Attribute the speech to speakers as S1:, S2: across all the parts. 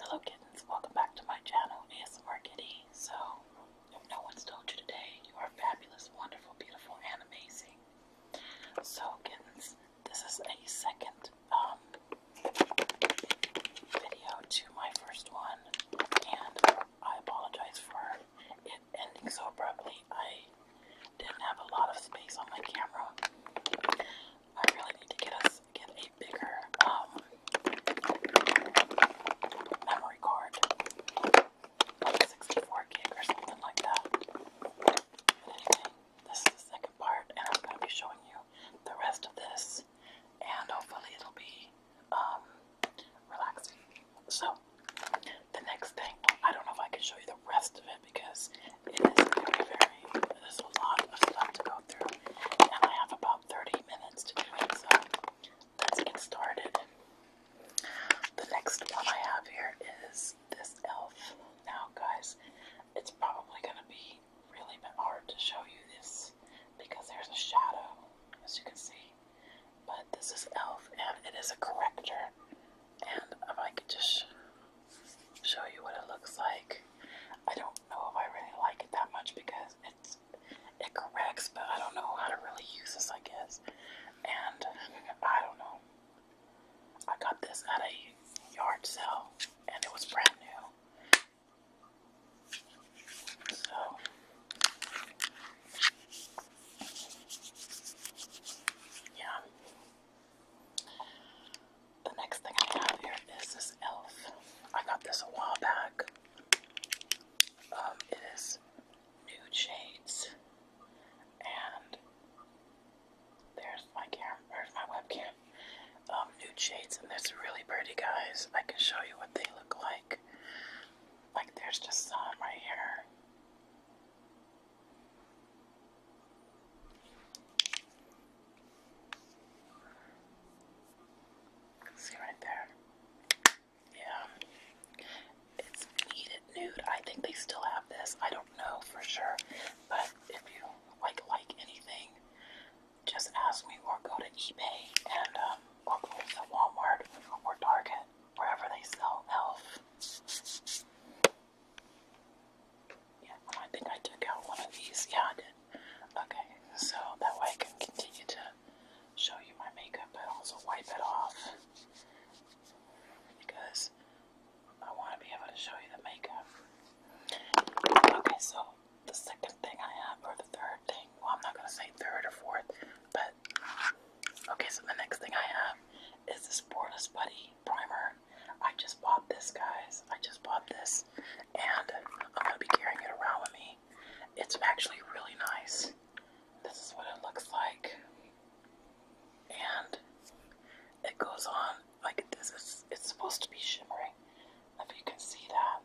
S1: Hello kittens, welcome back to my channel, ASMR Kitty. So, if no one's told you today, you are fabulous, wonderful, beautiful, and amazing. So kittens, this is a second um, video to my first one, and I apologize for it ending so abruptly. I didn't have a lot of space on my camera. I really need to get us get a bigger um memory card. Like 64 gig or something like that. this is the second part and I'm gonna be showing you the rest of this and hopefully it'll be um relaxing. So the next thing I don't know if I can show you the rest of it because it is very, very there's a lot of stuff to go through, and I have about 30 minutes to do it, so let's get started. The next one I have here is this elf. Now, guys, it's probably going to be really hard to show you this because there's a shadow, as you can see. But this is elf, and it is a corrector. And if I could just show you what it looks like, I don't don't know if I really like it that much because it's it corrects, but I don't know how to really use this, I guess. And I don't know. I got this at a yard sale and it was brand new. So yeah the next thing I have here is this elf. I got this a while back. Um, it is nude shades, and there's my camera. There's my webcam. Um, nude shades, and there's really pretty guys. I can show you what they look like. Like there's just some right here. See right there? Yeah. It's heated nude. I think they still have this. I don't know for sure. But if you like like anything, just ask me or go to eBay and um, or go to Walmart or Target, wherever they sell elf. Yeah, I think I took out one of these. Yeah, I did. Okay, so that way I can continue to show you my makeup, but also wipe it off because I want to be able to show you the makeup. Okay, so the second thing I have, or the third thing, well, I'm not going to say third or fourth, but okay, so the next thing I have is this Poreless Buddy Primer I just bought this, guys. I just bought this, and I'm gonna be carrying it around with me. It's actually really nice. This is what it looks like, and it goes on like this. Is, it's supposed to be shimmering. If you can see that,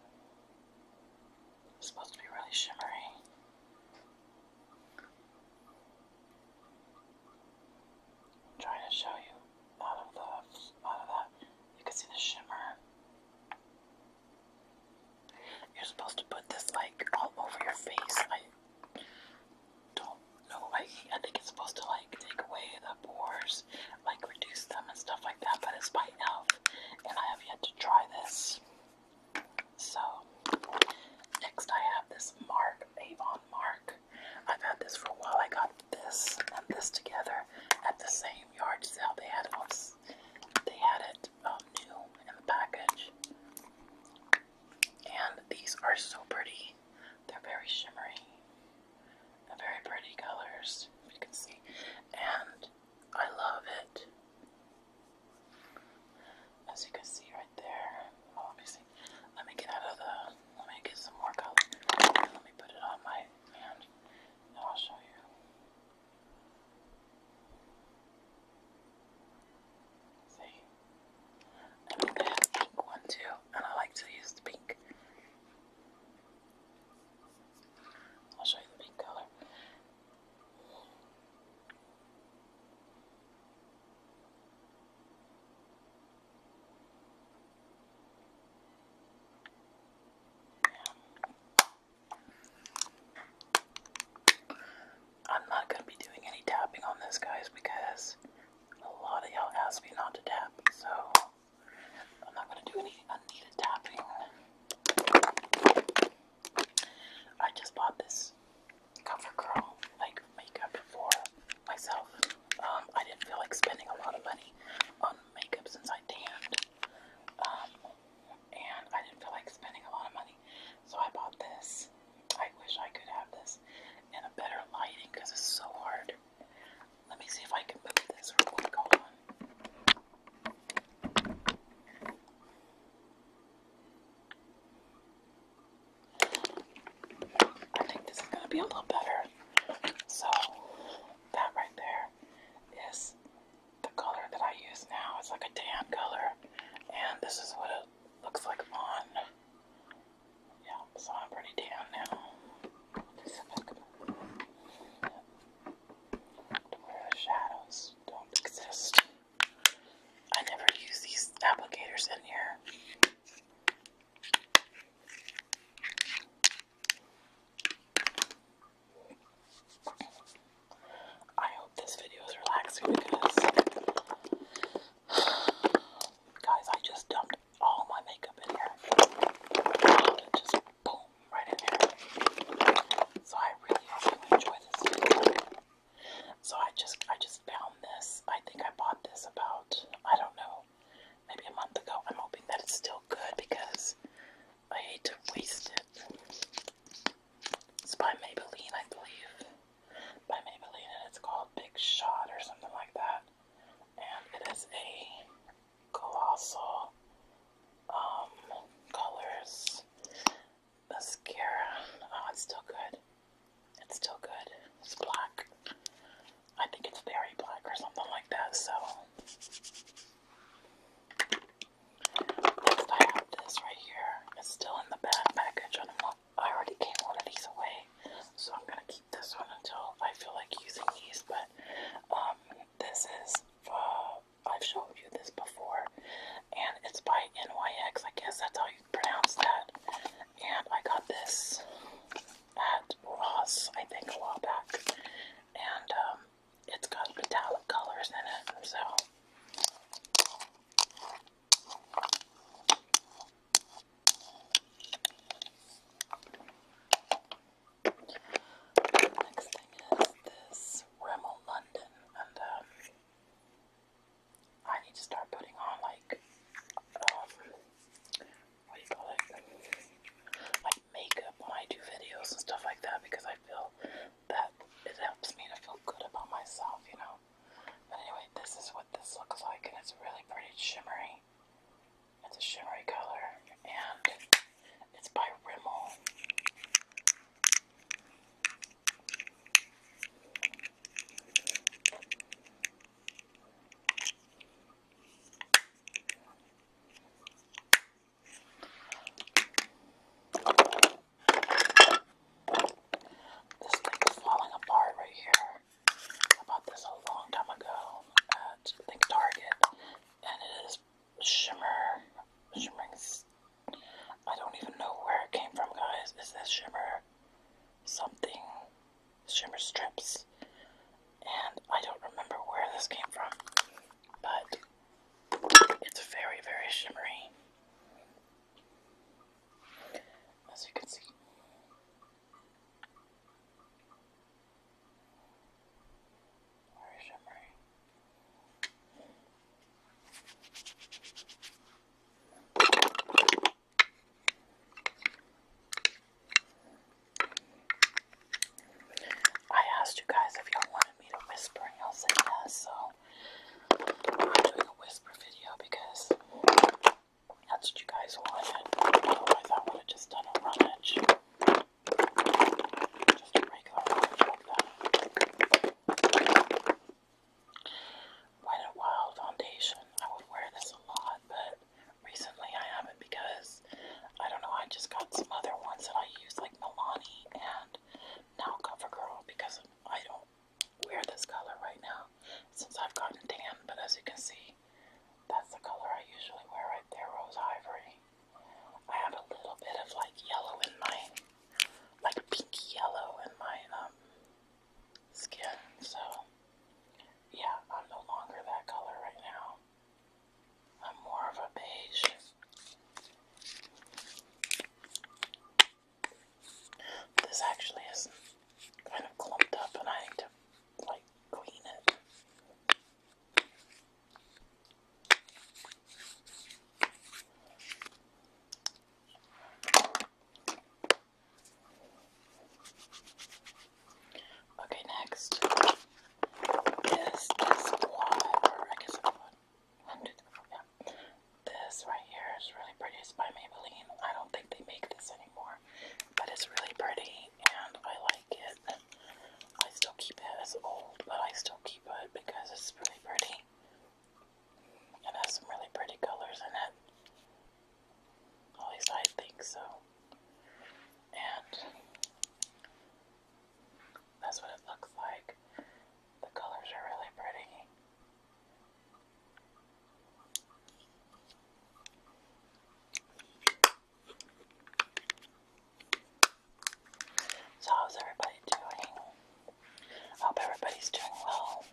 S1: it's supposed to be really shimmery. trying to show you out of the out of that. You can see the shimmer. You're supposed to put this like all over your face. I don't know. I I think it's supposed to like take away the pores, like reduce them and stuff like that. But it's by Elf, and I have yet to try this. So next, I have this Mark Avon Mark I've had this for a while. I got this and this together at the same yard sale. They had it they had it um, new in the package. And these are so pretty. They're very shimmery. They're very pretty colors, you can see. And I love it. As you can see right there. Let me get out of the let me get some more color. Let me put it on my hand I'll show you. See? And then there's a pink one too, and I like to use the pink. I'll show you the pink color. I'm not going to be doing any tapping on this, guys, because a lot of y'all asked me not to tap, so I'm not going to do any unneeded tapping. I just bought this CoverGirl like makeup for myself. Um, I didn't feel like spending a lot of money on makeup since I tanned. Um, and I didn't feel like spending a lot of money. So I bought this. I wish I could have this in a better lighting because it's so hard. Let me see if I can move this real quick. on. I think this is going to be a little better. So, that right there is the color that I use now. It's like a tan color, and this is what it looks like on. Yeah, so I'm pretty tan now. Where the shadows don't exist. I never use these applicators in here. I hope this video is relaxing because, guys, I just dumped all my makeup in here. So I really hope you enjoy this So I just I just found this. I think I bought this about I don't know maybe a month ago. I'm hoping that it's still good because I hate to waste it. It's by Maybelline, I believe. By Maybelline, and it's called Big Shot or something like that. And it is a colossal um, colors mascara. Oh, it's still good. It's still good. It's black. I think it's very black or something like that, so. I have this right here. It's still in the bag package, I'm already gave one of these away, so I'm gonna keep this one until I feel like using these. But um, this is uh, I've showed you this before, and it's by NYX. I guess that's how you pronounce that. And I got this at Ross, I think, a while back, and um, it's got metallic colors in it, so. Next thing is this Rimmel London, and um, I need to start putting on like um, what do you call makeup when I do videos and stuff like that because I feel that it helps me to feel good about myself, you know. But anyway, this is what this looks like, and it's really pretty shimmery. It's a shimmery color, and it's by Rimmel. This thing is falling apart right here. I bought this a long time ago at I Target, and it is shimmer, shimmering. I don't even know where it came from, guys. Is this shimmer something? shimmer strips. And I don't remember where this came from, but it's very, very shimmery. As you can see. Very shimmery. I asked you guys if y'all wanted me to whisper, and y'all said yes, so I'm doing a whisper video because that's what you guys wanted. Otherwise, I would have just done a rummage. Just a regular rummage like that. Wet n Wild foundation. I would wear this a lot, but recently I haven't because I don't know. I just got some other ones that I use, like Milani and now CoverGirl, because I don't wear this color right now since I've gotten tan. But as you can see, that's the color I usually wear right there, rose ivory. I have a little bit of like yellow in my, like pinky yellow in my um skin. So, yeah, I'm no longer that color right now. I'm more of a beige. This actually is kind of clumped up and I need to, like, clean it. Okay, next is this one, This right here is really pretty. It's by Maybelline. I don't think they make this anymore, but it's really pretty and I like it. I still keep it. as old, but I still keep it because it's really pretty. It has some really pretty colors in it. At least I think so. And that's what it looks like. The colors are really pretty. So, how's everybody doing? hope everybody's doing well.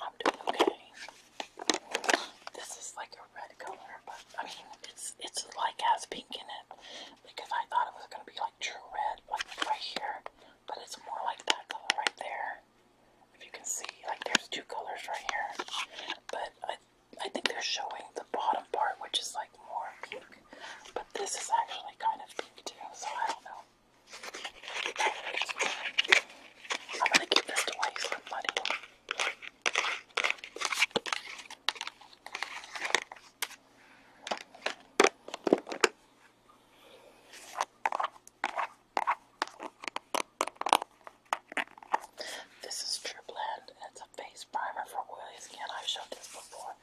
S1: I'm doing okay. This is like a red color, but I mean, it's it's like has pink in it because I thought it was gonna be like true red, like right here, but it's more like that color right there. If you can see, like there's two colors right here, but I I think they're showing the bottom part, which is like more pink, but this is actually kind of pink too. So I don't know. I'm gonna give this to Iceland money. This is True Blend, and it's a face primer for oily skin. I've shown this before,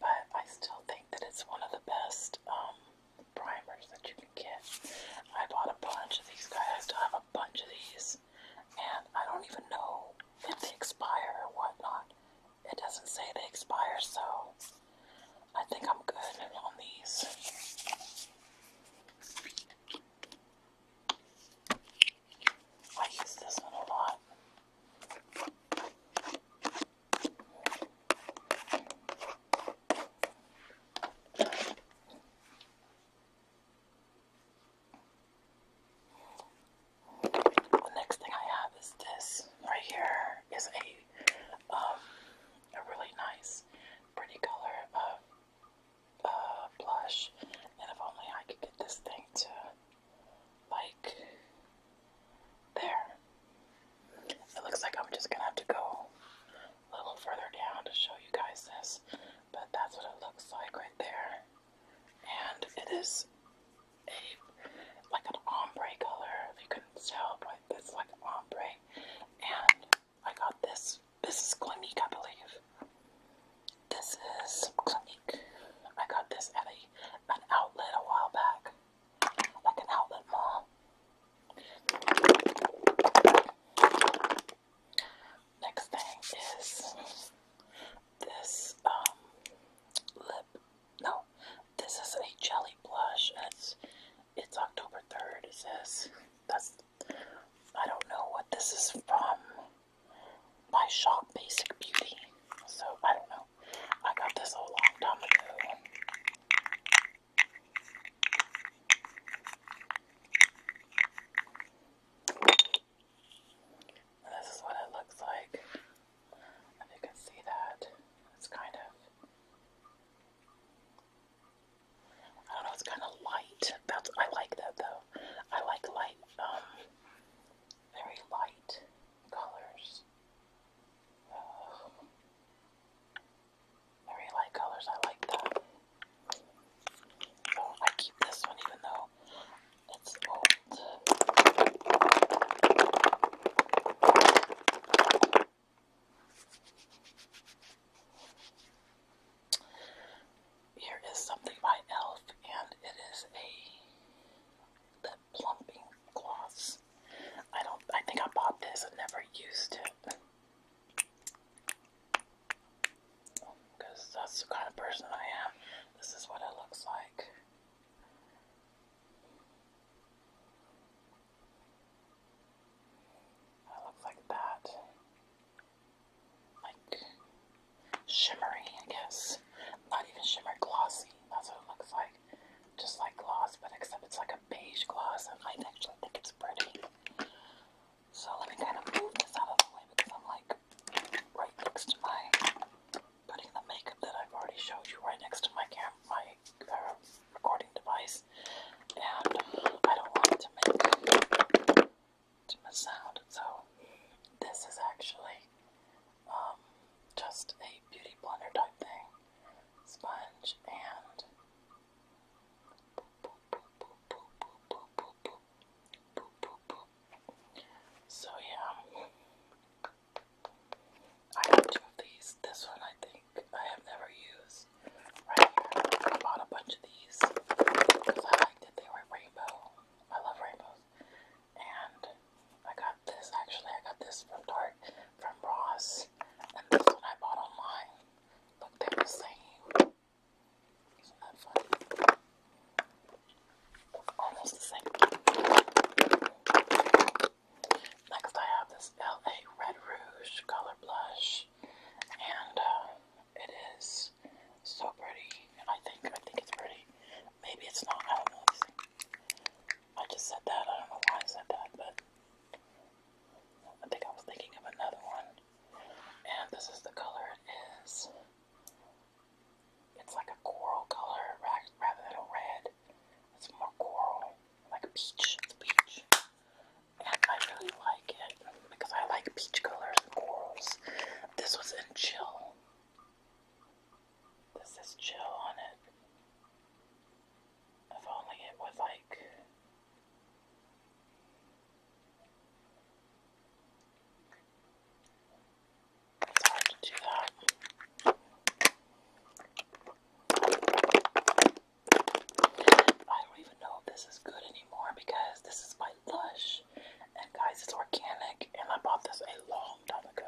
S1: but I still think that it's one of the best um, primers that you can get. I bought a bunch of these guys. I still have a bunch of these. And I don't even know if they expire or whatnot. It doesn't say they expire, so I think I'm good on these. I use this one a lot. The next thing I have is this right here is a um a really nice pretty color of uh blush and if only I could get this thing to like there. It looks like I'm just gonna have to go a little further down to show you guys this, but that's what it looks like right there. And it is a like an ombre color, if you can tell, but this like ombre. And I got this. This is Clinique, I believe. This is Clinique. I got this at a an outlet a while back like an outlet mall. Next thing is this um lip. No, this is a jelly blush. It's October third. It says that's I don't know what this is from. My shop, Basic Beauty. So I don't know. I got this a long time ago. this is what it looks like. If you can see that, it's kind of, I don't know, it's kind of light. That's I like that though. I like light, um, very light colors. Very light colors, I like that. So oh, I keep this one even though it's old. Here is something by e.l.f. and it is a lip plumping cloths. I don't. I think I bought this and never used it. Because that's the kind of person I am. This is what it looks like. It looks like that. Like shimmery, I guess. Not even shimmer, glossy. That's what it looks like just like gloss, but except it's like a beige gloss, and I actually think it's pretty. So let me kind of move this out of the way because I'm like right next to my putting the makeup that I've already showed you right next to my camera, my uh, recording device, and I don't want it to make to miss So this is actually um, just a beauty blender type thing, sponge, and so yeah, I have two of these. This one I think I have never used. Right here, I bought a bunch of these because I liked that they were rainbow. I love rainbows and I got this actually I got this from Tart from Ross and this one I bought online. Look they're the same. Isn't Almost the same. Next I have this LA Red Rouge color blush and uh, it is so pretty. I think I think it's pretty. Maybe it's not, I don't know. I just said that. I don't know why I said that, but I think I was thinking of another one. And this is the color it is. It's like a coral color rather than a red. It's more coral, like a peach. It's peach. And I really like it because I like peach colors and corals. This was in Chill. This is chill on it. If only it would like it's hard to do that. I don't even know if this is good anymore because this is by Lush. And guys, it's organic, and I bought this a long long time ago,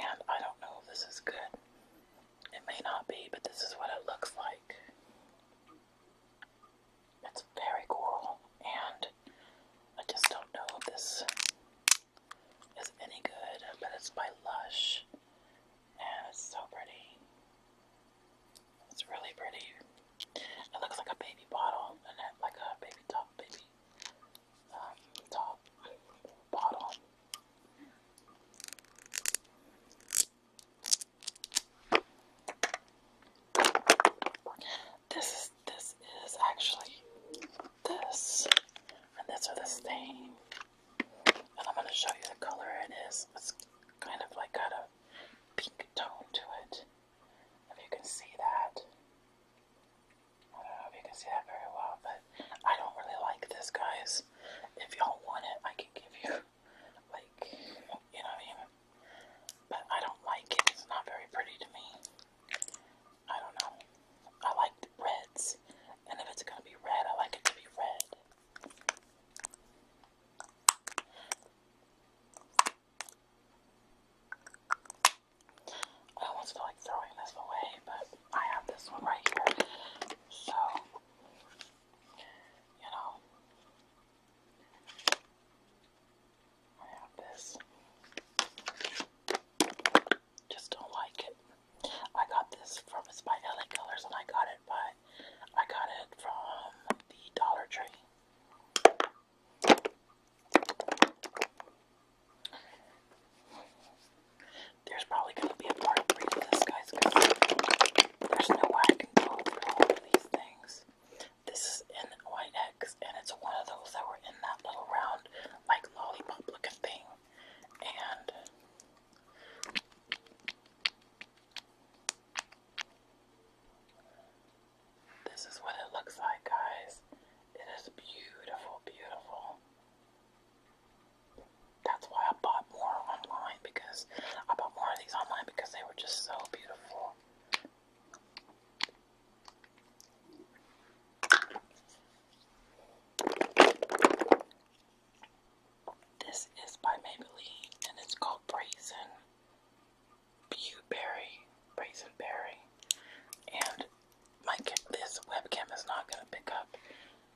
S1: and I don't know if this is good. It may not be, but this is what it looks like. It's very cool, and I just don't know if this is any good, but it's by Lush, and it's so pretty. It's really pretty. It looks like a baby bottle, and it, like a baby top, baby top, bottom. This is this is actually this, and this are the same. And I'm gonna show you the color it is. It's kind of like got a pink tone to it. If you can see that. I don't know if you can see that very well, but I don't really like this, guys. If y'all want it, I can give you, like, you know what But I don't like it. It's not very pretty to me. I don't know. I like the reds. And if it's going to be red, I like it to be red. I almost feel like throwing this away, but I have this one right here. So, you know, I have this. Just don't like it. I got this from, it's Colors, and I got it by, I got it from the Dollar Tree. There's probably going to be a part three to this, guys, because there's no way I can go all of these things. This is in white X, and it's one of those that were in that little round, like lollipop looking thing. And this is what it looks like, guys. It is beautiful, beautiful. That's why I bought more online because I bought more of these online because they were just so beautiful. This is by Maybelline and it's called Brazen Bewberry, Brazen and my this webcam is not gonna pick up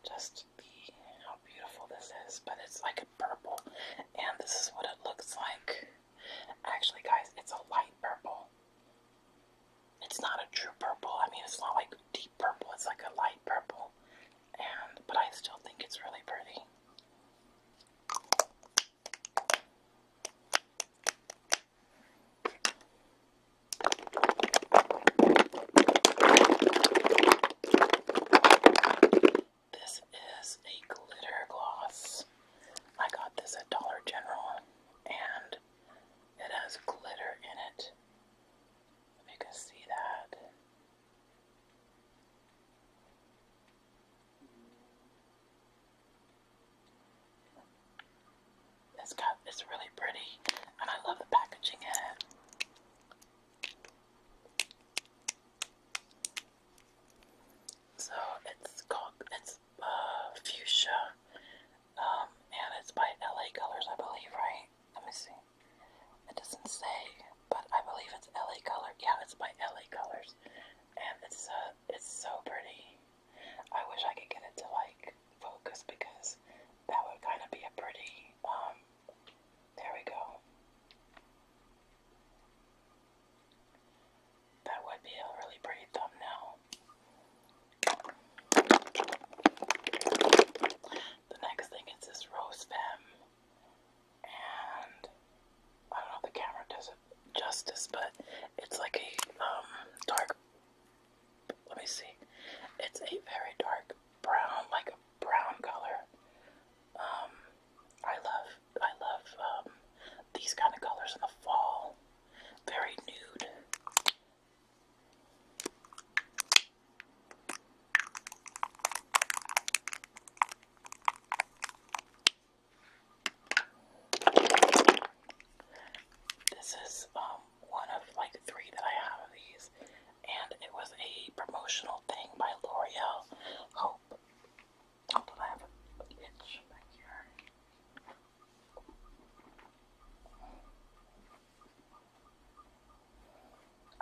S1: just the how beautiful this is, but it's like a purple, and this is what it looks like. Actually, guys, it's a light purple. It's not a true purple. I mean, it's not like deep purple. It's like a light purple, and but I still think it's really pretty. This is a glitter gloss. I got this at Dollar General and it has glitter in it. If you can see that. This cup is really pretty, and I love the packaging it. So it's called it's uh, fuchsia, um, and it's by LA Colors, I believe, right? Let me see. It doesn't say, but I believe it's LA Colors. Yeah, it's by LA Colors, and it's uh, it's so pretty. I wish I could get it to like focus because that would kind of be a pretty, um, there we go. That would be a really pretty thumbnail. The next thing is this rose femme, and I don't know if the camera does it justice, but it's like a um, dark let me see. It's a very dark brown, like a brown color. Um, I love, I love um, these kind of colors in the fall. Very nude. This is um one of like three that I have of these, and it was a promotional thing by L'Oreal. Hope. Hope oh, that I have a itch back here.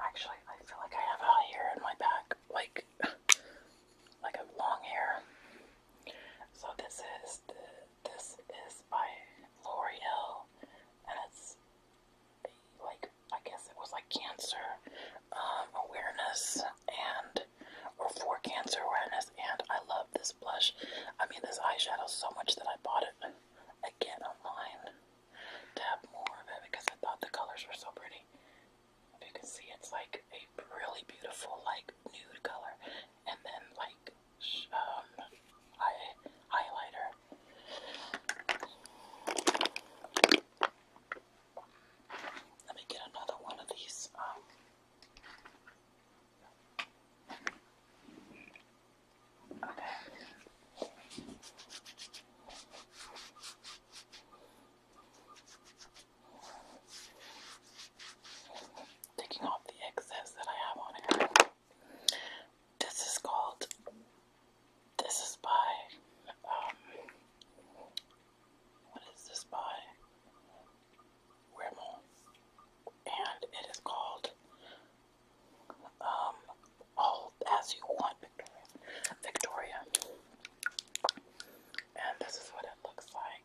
S1: Actually, I feel like I have hair in my back, like like a long hair. So this is the, this is by L'Oreal, and it's like I guess it was like cancer um, awareness and or for cancer awareness. And I love this blush. I mean this eyeshadow so much that I bought it again online to have more of it because I thought the colors were so pretty. If you can see, it's like a really beautiful like nude color, and then like um, highlighter. Let me get another one of these. Um, okay taking off the excess that I have on here. This is called, this is by, um, what is this by? Rimmel. And it is called, um, All As You Want, Victoria. Victoria. And this is what it looks like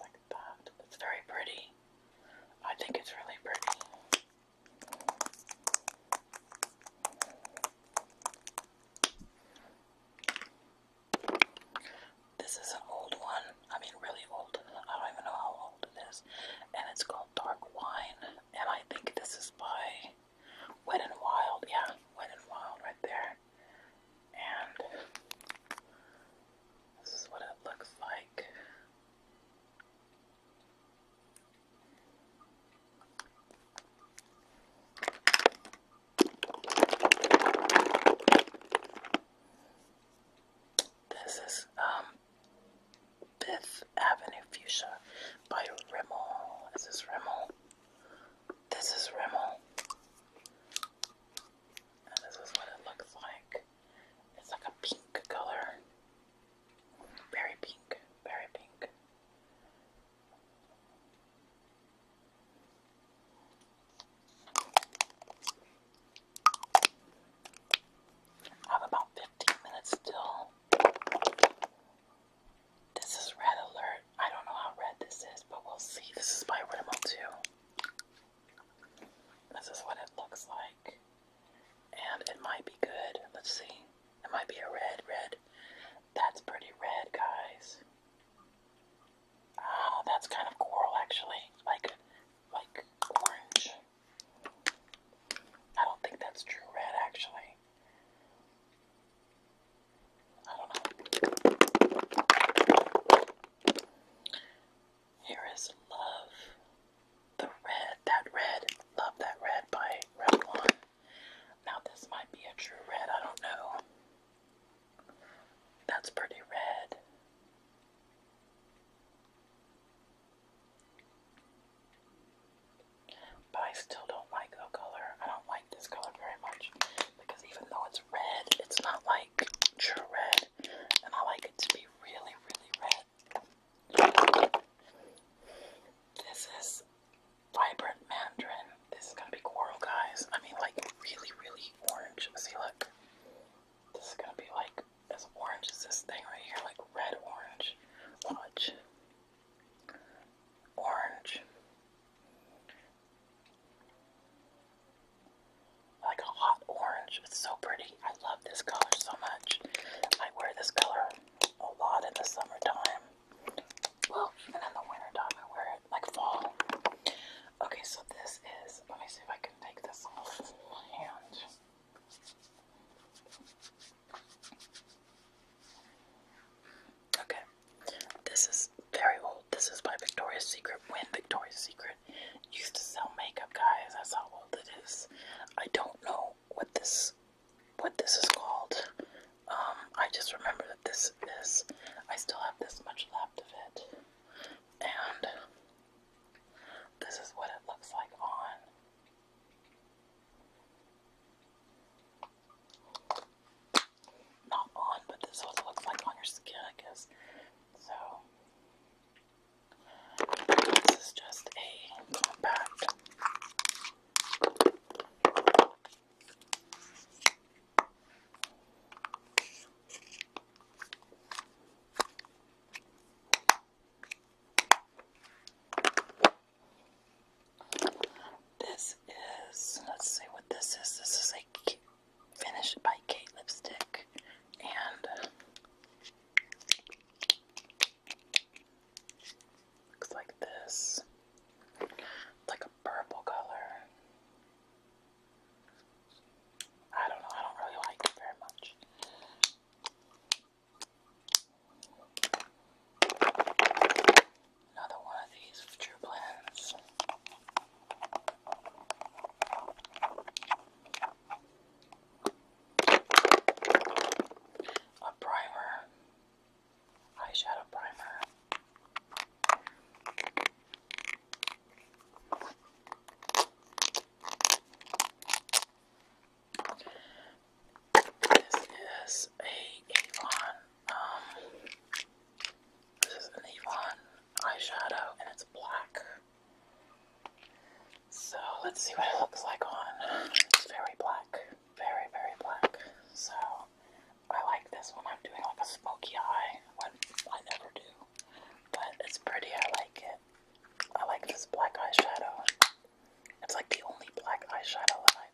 S1: like that. It's very pretty. I think it's really pretty. This is an old one. I mean, really old. I don't even know how old it is. And it's called Dark Wine and I think this is by Wet and Wild. Yeah, Wet and Wild right there. And this is what it looks like. This is um Fifth Avenue Fuchsia by Rimmel. Is this Rimmel? This is Rimmel. this is what it looks like. It's like a pink color. Very pink, very pink. I have about 15 minutes still. This is red alert. I don't know how red this is, but we'll see. This is by Rimmel too. This is what it looks like. And it might be good. Let's see. It might be a red, red. That's pretty red, guys. Ah, that's kind of coral actually. Like like orange. I don't think that's true red, actually. I don't know. Here is Love. The Red, that red, Love That Red by Revlon. Now, this might be a true red, I don't know. That's pretty red. But I still don't like the color. I don't like this color very much because even though it's red, it's not like true red, and I like it to be really, really red. This is vibrant mandarin. This is gonna be coral, guys. I mean, like really, really orange. See, look. This is gonna be like as orange as this thing right here, like red orange. Watch. Orange. Like a hot orange. It's so pretty. I love this color so much. I wear this color a lot in the summertime. Well, even in the winter time, I wear it like fall. Okay, so this is, let me see if I can take this off my hand. Okay, this is very old. This is by Victoria's Secret when Victoria's Secret used to sell makeup, guys. That's how old it is. I don't know what this what this is called. Um, I just remember that this is. I still have this much left of it, and this is what it looks like on. Not on, but this is what it looks like on your skin, I guess. So, this is just a compact. This is, let's see what this is. This is a Finished by Kate lipstick. And looks like this. It's like a purple color. I don't know, I don't really like it very much. Another one of these true blends. A primer, eyeshadow primer. This is a Avon, um, this is an Avon eyeshadow and it's black. So let's see what it looks like on. It's very black, very, very black. So I like this when I'm doing like a smoky eye, when I never do. But it's pretty, I like it. I like this black eyeshadow. It's like the only black eyeshadow that I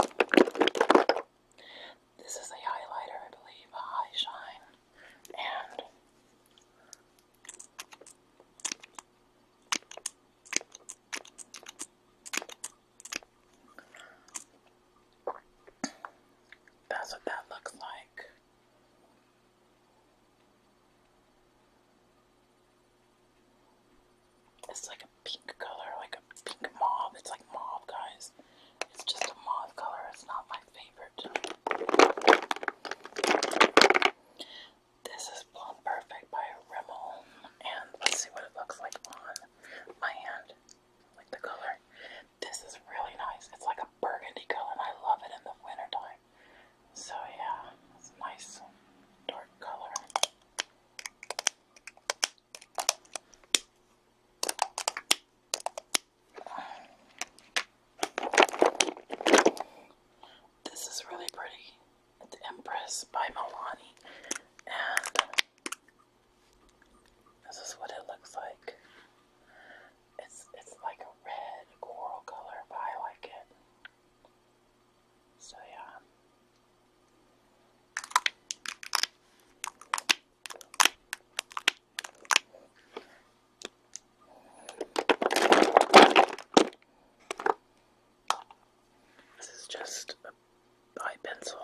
S1: own. This is a highlighter, I believe, a high shine, and that's what that looks like. It's like a pink color, like a pink mauve. It's like mauve, guys. It's just a mauve color. It's not my favorite. This is Blonde Perfect by Rimmel. And let's see what it looks like on my hand with the color. This is really nice. It's like a burgundy color, and I love it in the wintertime. So, yeah, it's nice dark color. This is really pretty. The Empress by Milani. And this is what it looks like. It's it's like a red coral color, but I like it. So yeah. This is just eye pencil.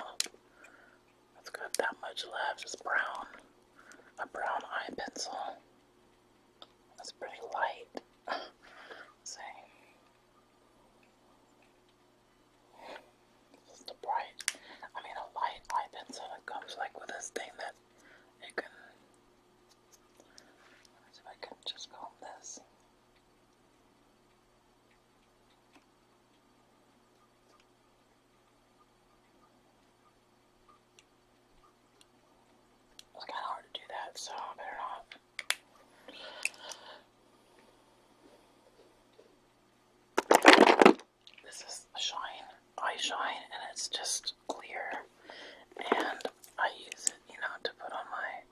S1: Let's got that much left. It's brown. A brown eye pencil. That's pretty light. Same. Just a bright, I mean a light eye pencil that comes like with this thing that it can, let me see if I can just comb this. It's kind of hard to do that, so I better not. This is shine, eye shine, and it's just clear. And I use it, you know, to put on my,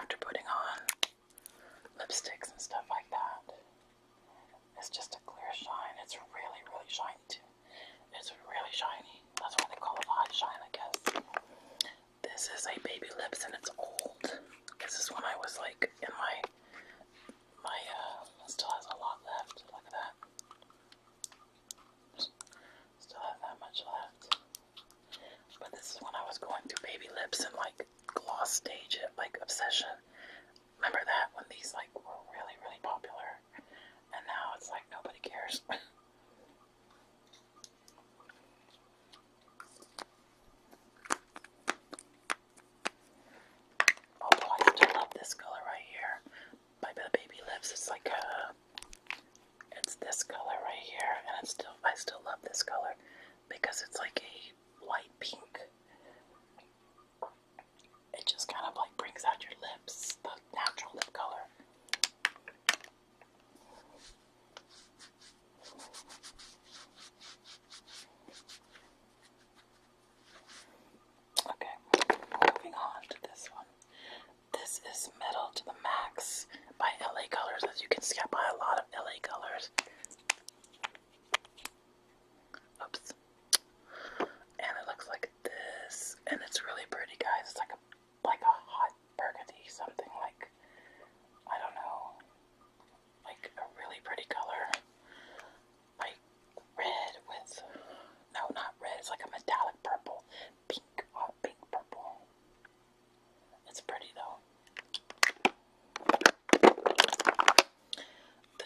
S1: after putting on lipsticks and stuff like that. It's just a clear shine. It's really, really shiny too. It's really shiny. That's why they call it hot shine, I guess. This is a baby lips and it's old. This is when I was like in my my uh, still has a lot left. Look at that. Still have that much left. But this is when I was going through baby lips and like gloss stage like obsession. Remember that when these like were really really popular, and now it's like nobody cares. Although oh, I still love this color right here by baby lips. It's like a uh, it's this color right here, and it's still I still love this color because it's like a light pink. It just kind of like brings out your lips, the natural lip color. Okay, moving on to this one. This is Metal to the Max by LA Colors. As you can see, I buy a lot of LA colors. Oops. And it looks like this, and it's really pretty, guys. It's like a like a hot burgundy, something like I don't know, like a really pretty color, like red with no, not red. It's like a metallic purple, pink, hot pink purple. It's pretty though.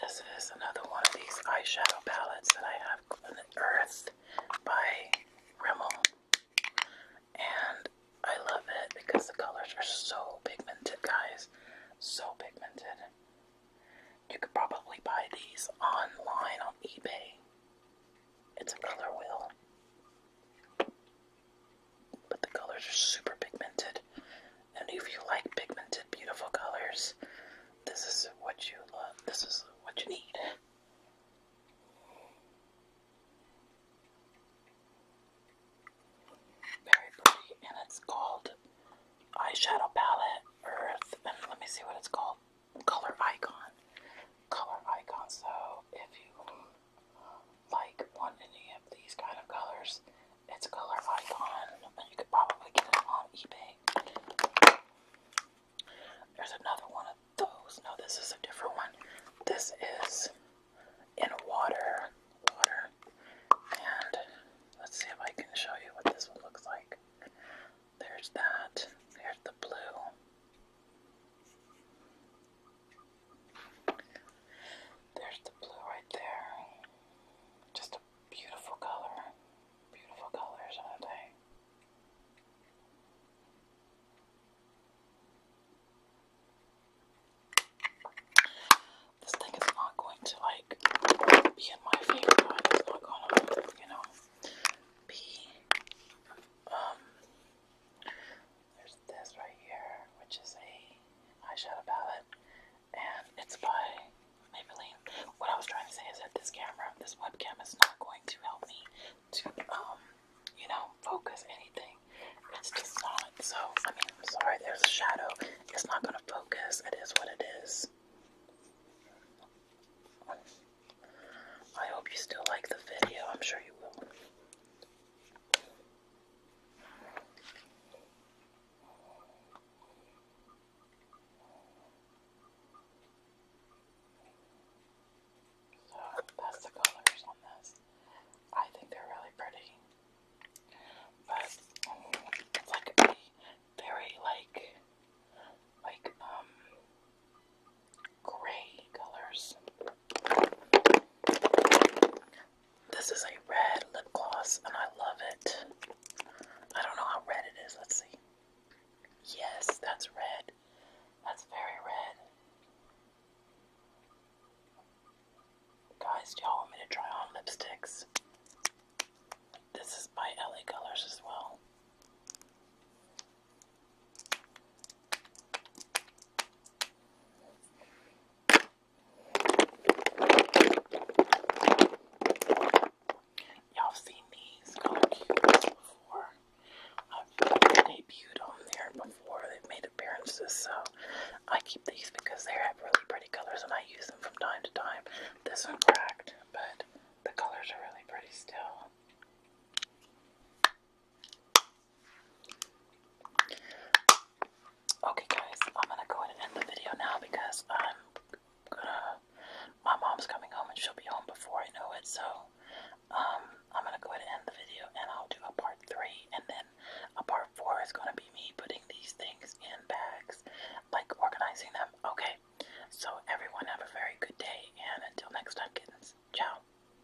S1: This is another one of these eyeshadow palettes that I have Earth by Rimmel. And I love it because the colors are so pigmented, guys. So pigmented. You could probably buy these online on eBay. It's a color wheel. But the colors are super pigmented. And if you like pigmented, beautiful colors, this is what you love. This is what you need. Very pretty, and it's called eyeshadow palette Earth. And let me see what it's called. Color icon. Color icon. So if you like want of these kind of colors, it's a color icon, and you could probably get it on eBay. There's another one of those. No, this is a different one. This is in water, water, and let's see if I can show you what this one looks like. There's that. There's the blue. There's the blue right there. Just a beautiful color. Beautiful colors, are This thing is not going to like be in my favor. It's not gonna, you know, be um, there's this right here, which is a eyeshadow palette, and it's by Maybelline. What I was trying to say is that this camera, this webcam, is not going to help me to, um, you know, focus anything. It's just not. So, I mean, I'm sorry, there's a shadow. It's not going to focus. It is what it is. I hope you still like the video. I'm sure you will. So that's the colors on this. I think they're really pretty. But it's like very like like um gray colors. This is a red lip gloss and I love it. I don't know how red it is. Let's see. Yes, that's red. That's very red. Guys, do y'all want me to try on lipsticks? This is by LA Colors as well. Y'all seen these color cubes before. I've debuted on there before. They've made appearances, so I keep these because they have really pretty colors and I use them from time to time. This one cracked, but the colors are really pretty still. Okay, guys, I'm gonna go ahead and end the video now because I'm gonna. My mom's coming home and she'll be home before I know it, so um, I'm gonna go ahead and end the video and I'll do a part three, and then a part four is gonna be me putting these things in bags, like organizing them. Okay, so everyone have a very good day, and until next time, kiddos. ciao.